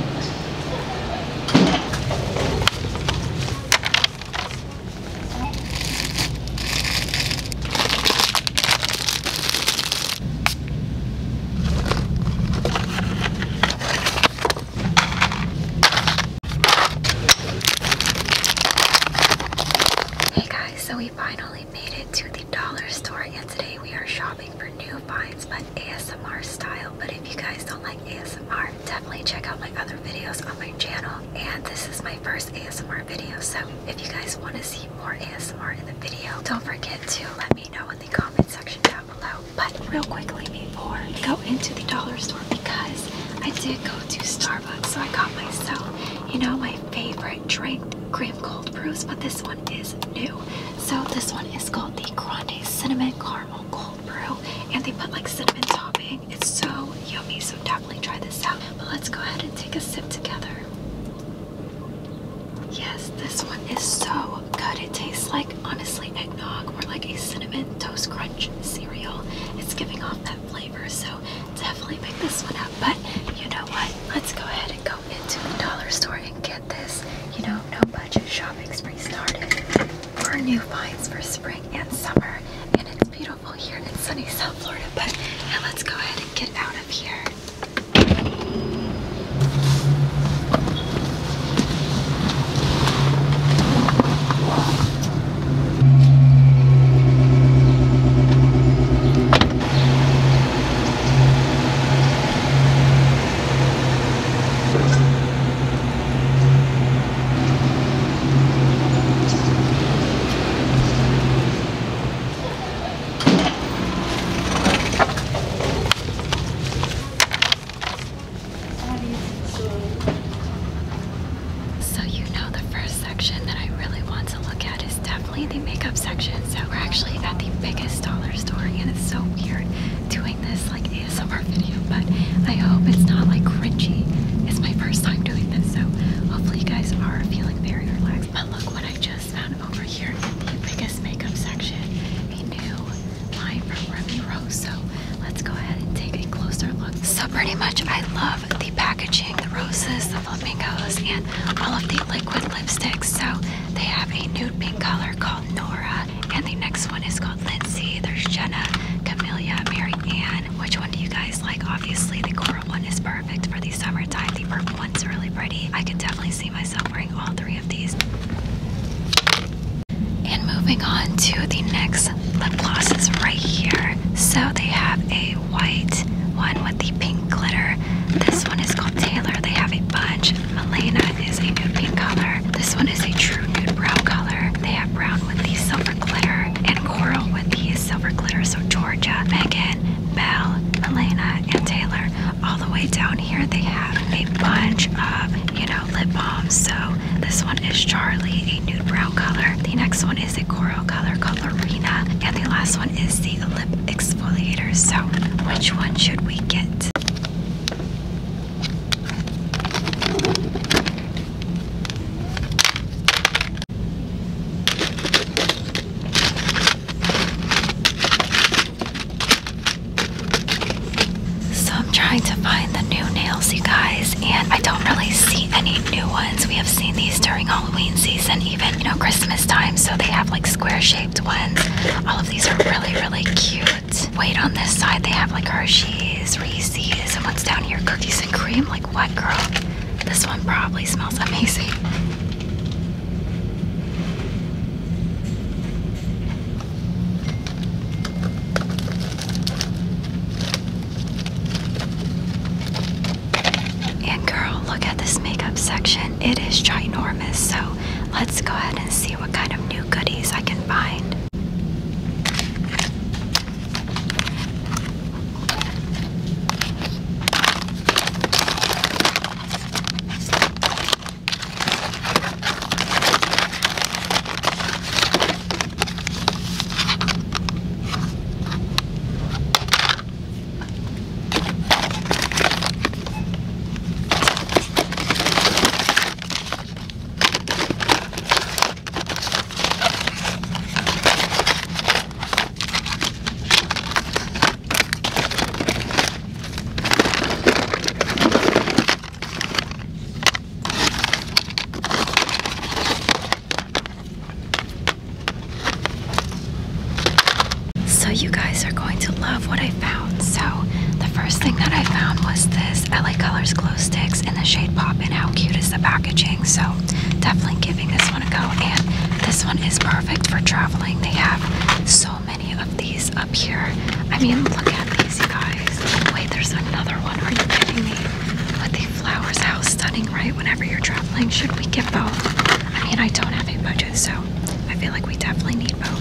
Hey guys, so we finally made it to the dollar store and today we are shopping for new finds, but ASMR style. But if you guys don't like ASMR, definitely check out my other videos on my channel. And this is my first ASMR video, so if you guys want to see more ASMR in the video, don't forget to let me know in the comment section down below. But real quickly before I go into the dollar store, because I did go to Starbucks, so I got myself, you know, my favorite drink, cream Cold Brews, but this one is new. So this one is called the Grande Cinnamon card caramel cold brew and they put like cinnamon topping. It's so yummy, so definitely try this out. But let's go ahead and take a sip together. Yes, this one is so good. It tastes like honestly eggnog or like a cinnamon toast crunch cereal. It's giving off that flavor, so definitely pick this one up. But you know what? Let's go ahead and go into the dollar store and get this, you know, no budget shopping spree started for new finds for spring and summer. And it's beautiful here in sunny South Florida. But now let's go ahead and get out of here. So you know, the first section that I really want to look at is definitely the makeup section. So we're actually at the biggest dollar store and it's so weird doing this like ASMR video, but I hope it's not like cringy. It's my first time doing this, so hopefully you guys are feeling very relaxed. But look what I just found over here in the biggest makeup section. A new line from Remy Rose. So let's go ahead and take a closer look. So pretty much I love the packaging, the roses, the flamingos, and all of the liquid lipsticks. So they have a nude pink color called Nora. And the next one is called Lindsay. There's Jenna, Camilla, Mary Ann. Which one do you guys like? Obviously, the coral one is perfect for the summertime. The purple one's really pretty. I could definitely see myself wearing all three of these. And moving on to the next lip glosses right here. So they have a white one with the pink glitter. This one is called Taylor. They have a bunch. Melena is a nude pink color. This one is a true nude brown color. They have brown with the silver glitter and coral with the silver glitter. So Georgia, Megan, Belle, Melena, and Taylor. All the way down here, they have a bunch of, you know, lip balms. So this one is Charlie, a nude brown color. The next one is a coral color called Lorena. And the last one is the lip exfoliator. So which one should we get? So I'm trying to find the new nails, you guys, and I don't really see any new ones. We have seen these during Halloween season, even you know Christmas time, so they have like square shaped ones. All of these are really, really cute. Wait, on this side they have like Hershey's, Reese's, and what's down here? Cookies and cream? Like what, girl? This one probably smells amazing. And girl, look at this makeup section. It is ginormous, so let's go ahead and see what kind of new goodies I can find. So you guys are going to love what I found. So the first thing that I found was this LA Colors Glow Sticks in the shade Pop, and How cute is the packaging? So definitely giving this one a go. And this one is perfect for traveling. They have so many of these up here. I mean, look at these, guys. Wait, there's another one. Are you kidding me? With the flowers, how stunning, right? Whenever you're traveling, should we get both? I mean, I don't have a budget, so I feel like we definitely need both.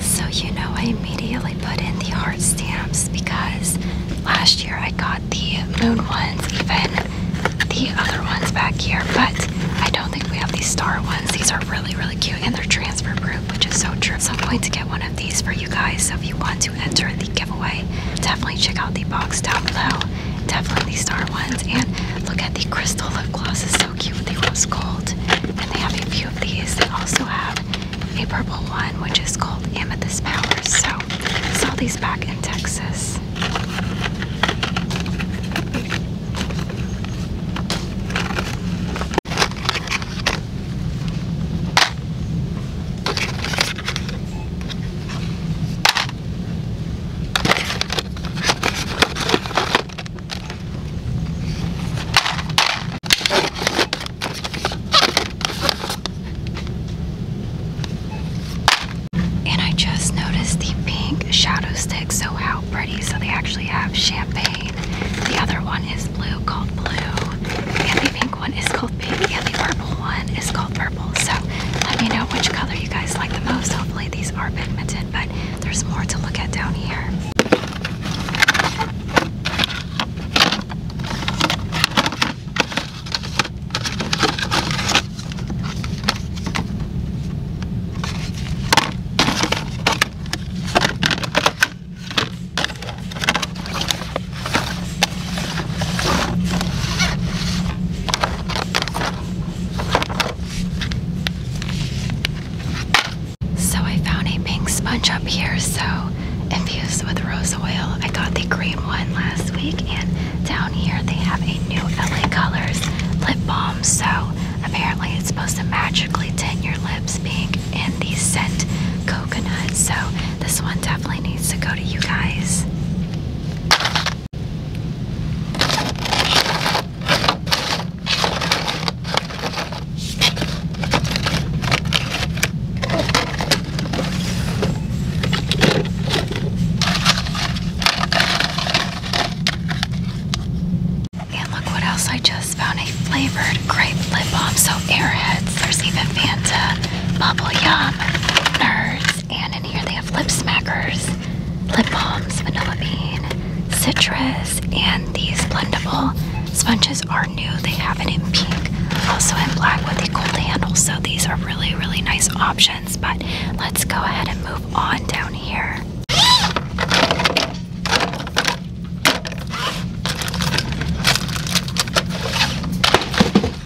So, you know, I immediately put in the heart stamps because last year I got the moon ones, even the other ones back here, but I don't think we have these star ones. These are really, really cute and they're transfer proof, which is so true. So, I'm going to get one of these for you guys. So, if you want to enter the giveaway, definitely check out the box down below definitely star ones. And look at the crystal lip gloss, is so cute. with the rose gold, and they have a few of these. They also have a purple one, which is called Amethyst Power. So I saw these back in Texas. And I just noticed the pink shadow stick. So, how pretty! So, they actually have champagne. The other one is blue, called blue. And the pink one is called pink. the purple one is called purple. So, let me know which color you guys like the most. Hopefully, these are Edmonton, but there's more to look at down here. So I found a pink sponge up here, so infused with rose oil. I got the green one last week, and down here they have a new LA Colors lip balm. So apparently it's supposed to magically tint your lips pink in the scent coconut. So this one definitely needs to go to you guys. And look what else I just found a flavored grape lip balm. So, Airheads, there's even Fanta, Bubble Yum, Nerds, and in here they have lip smackers lip balms, vanilla bean, citrus, and these blendable sponges are new. They have it in pink, also in black with a gold handle. So these are really, really nice options. But let's go ahead and move on down here.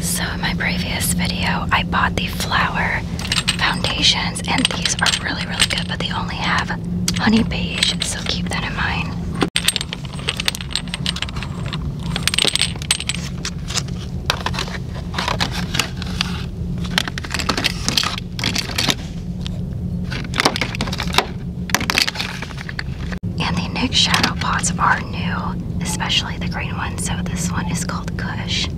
So in my previous video, I bought the flower foundations and these are really, really good, but they only have honey beige, so keep that in mind. And the new shadow pots are new, especially the green one. So this one is called Kush.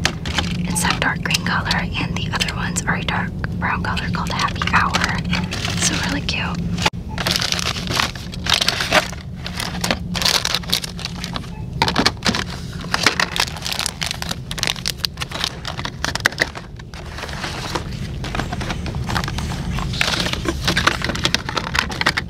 It's that dark green color, and the other ones are a dark brown color called Happy Hour. So really cute.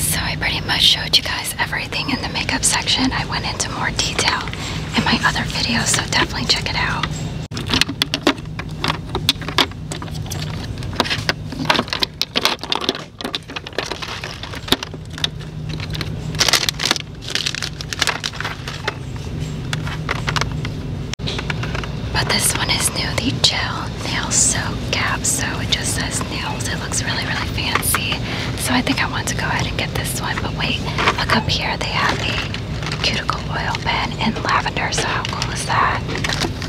So I pretty much showed you guys everything in the makeup section. I went into more detail in my other videos, so definitely check it out. But this one is new, the gel nail soak cap. So it just says nails. It looks really, really fancy. So I think I want to go ahead and get this one. But wait, look up here. They have the cuticle oil pen in lavender. So how cool is that?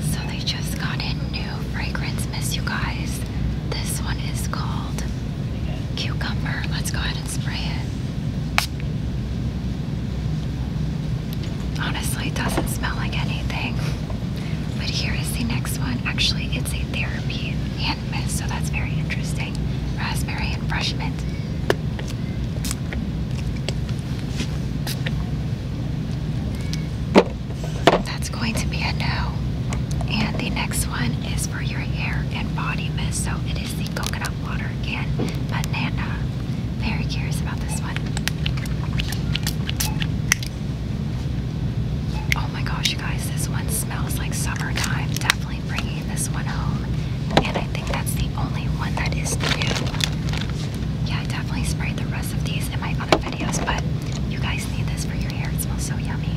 So they just got in new fragrance mist, you guys. This one is called Cucumber. Let's go ahead and spray it. Honestly, it doesn't smell like anything. But here is the next one. Actually, it's a therapy and mist, so that's very interesting. Raspberry and fresh mint. That's going to be a no. And the next one is for your hair and body mist. So it is the coconut water again. Banana. Very curious about this one. Oh my gosh, you guys, this one smells like summertime. Definitely bringing this one home. And I think that's the only one that is new. Yeah, I definitely sprayed the rest of these in my other videos, but you guys need this for your hair. It smells so yummy.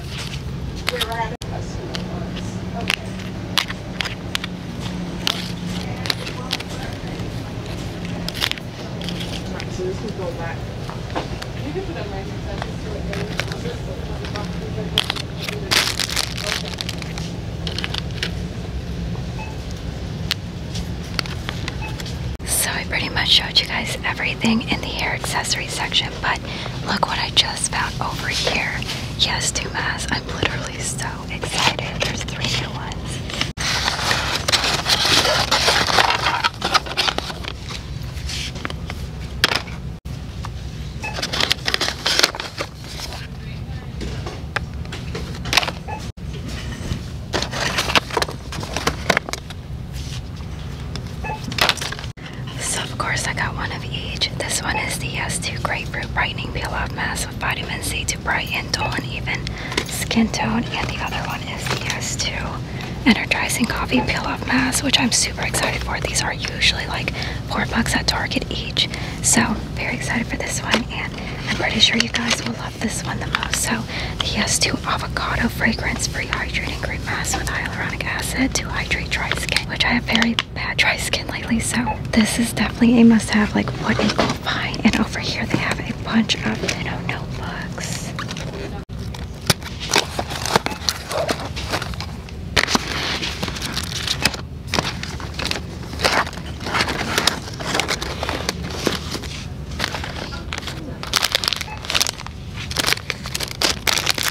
We're out of customer ones. Okay. so this So I pretty much showed you guys everything in the hair accessory section but look what I just found over here. Yes, Dumas, I'm literally so excited. There's three new ones. So of course I got one of each. This one is the S2 uh, Grapefruit Brightening Peel Off Mask with Vitamin C to brighten, dull, and even skin tone. And the other one is the uh, S2 Energizing Coffee Peel Off Mask, which I'm super excited for. These are usually like four bucks at Target each. So very excited for this one. And I'm pretty sure you guys will love this one the most. So the uh, S2 Avocado Fragrance Free Hydrating Cream Mask with Hyaluronic Acid to hydrate dry skin, which I have very bad dry skin lately, so this is definitely a must-have. Like, what you call find? And over here, they have a bunch of Minnow notebooks.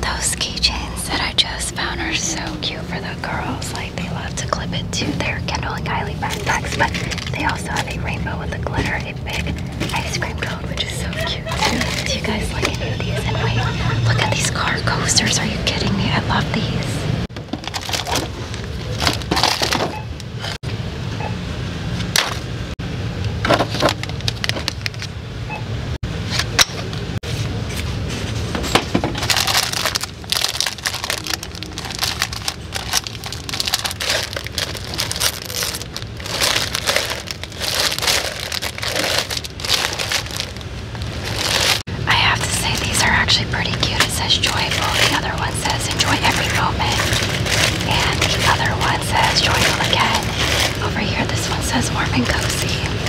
Those keychains that I just found are so cute for the girls. Like they love to clip it to their Kendall and Kylie backpacks, but they also have a rainbow with a glitter, a big ice cream cone, which is so cute Do you guys like any of these? And wait, look at these car coasters. Are you kidding me? I love these. I have to say, these are actually pretty cute. It says joyful, the other one says enjoy every moment, and the other one says joyful again. Over here, this one says warm and cozy.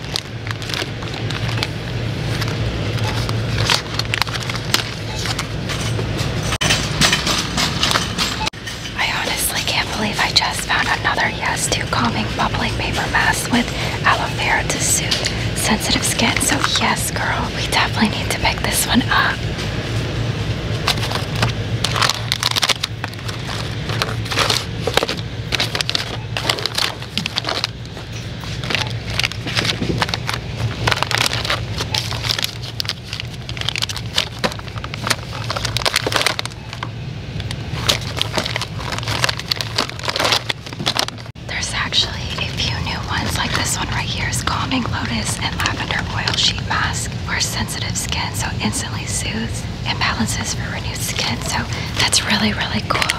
I honestly can't believe I just found another Yes to Calming Bubbling Paper Mask with aloe vera to soothe sensitive skin. So yes, girl, we definitely need to pick this one up. There's actually a few new ones like this one right here is Calming Lotus and Lavender Oil Sheet Mask for sensitive skin, so instantly soothes imbalances for renewed skin. So that's really, really cool.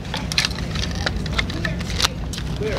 Clear.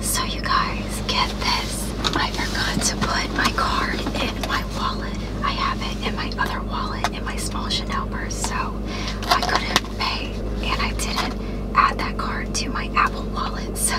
So you guys, get this. I forgot to put my card in my wallet. I have it in my other wallet in my small Chanel purse, so I couldn't pay and I didn't add that card to my Apple wallet. So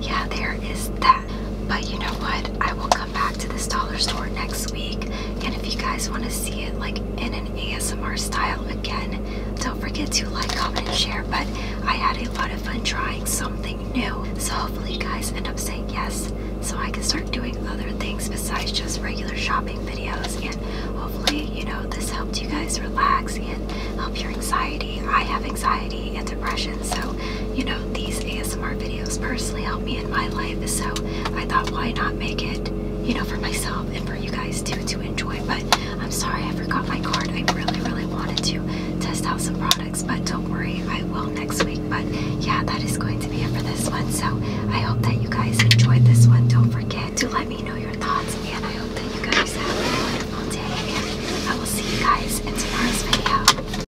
yeah, there is that. But you know what? I will come back to this dollar store next week. And if you guys want to see it like in an ASMR style again, don't forget to like, comment, and share. But I had a lot of fun trying something new. So hopefully you guys end up saying yes so I can start doing other things besides just regular shopping videos and hopefully you know this helped you guys relax and help your anxiety. I have anxiety and depression so you know these ASMR videos personally help me in my life so I thought why not make it you know for myself and for you guys too to enjoy but I'm sorry I forgot my card. I really really wanted to test out some products but don't worry, I will next week. But yeah, that is going to be it for this one. So I hope that you guys enjoyed this one. Don't forget to let me know your thoughts, and I hope that you guys have a wonderful day. And I will see you guys in tomorrow's video.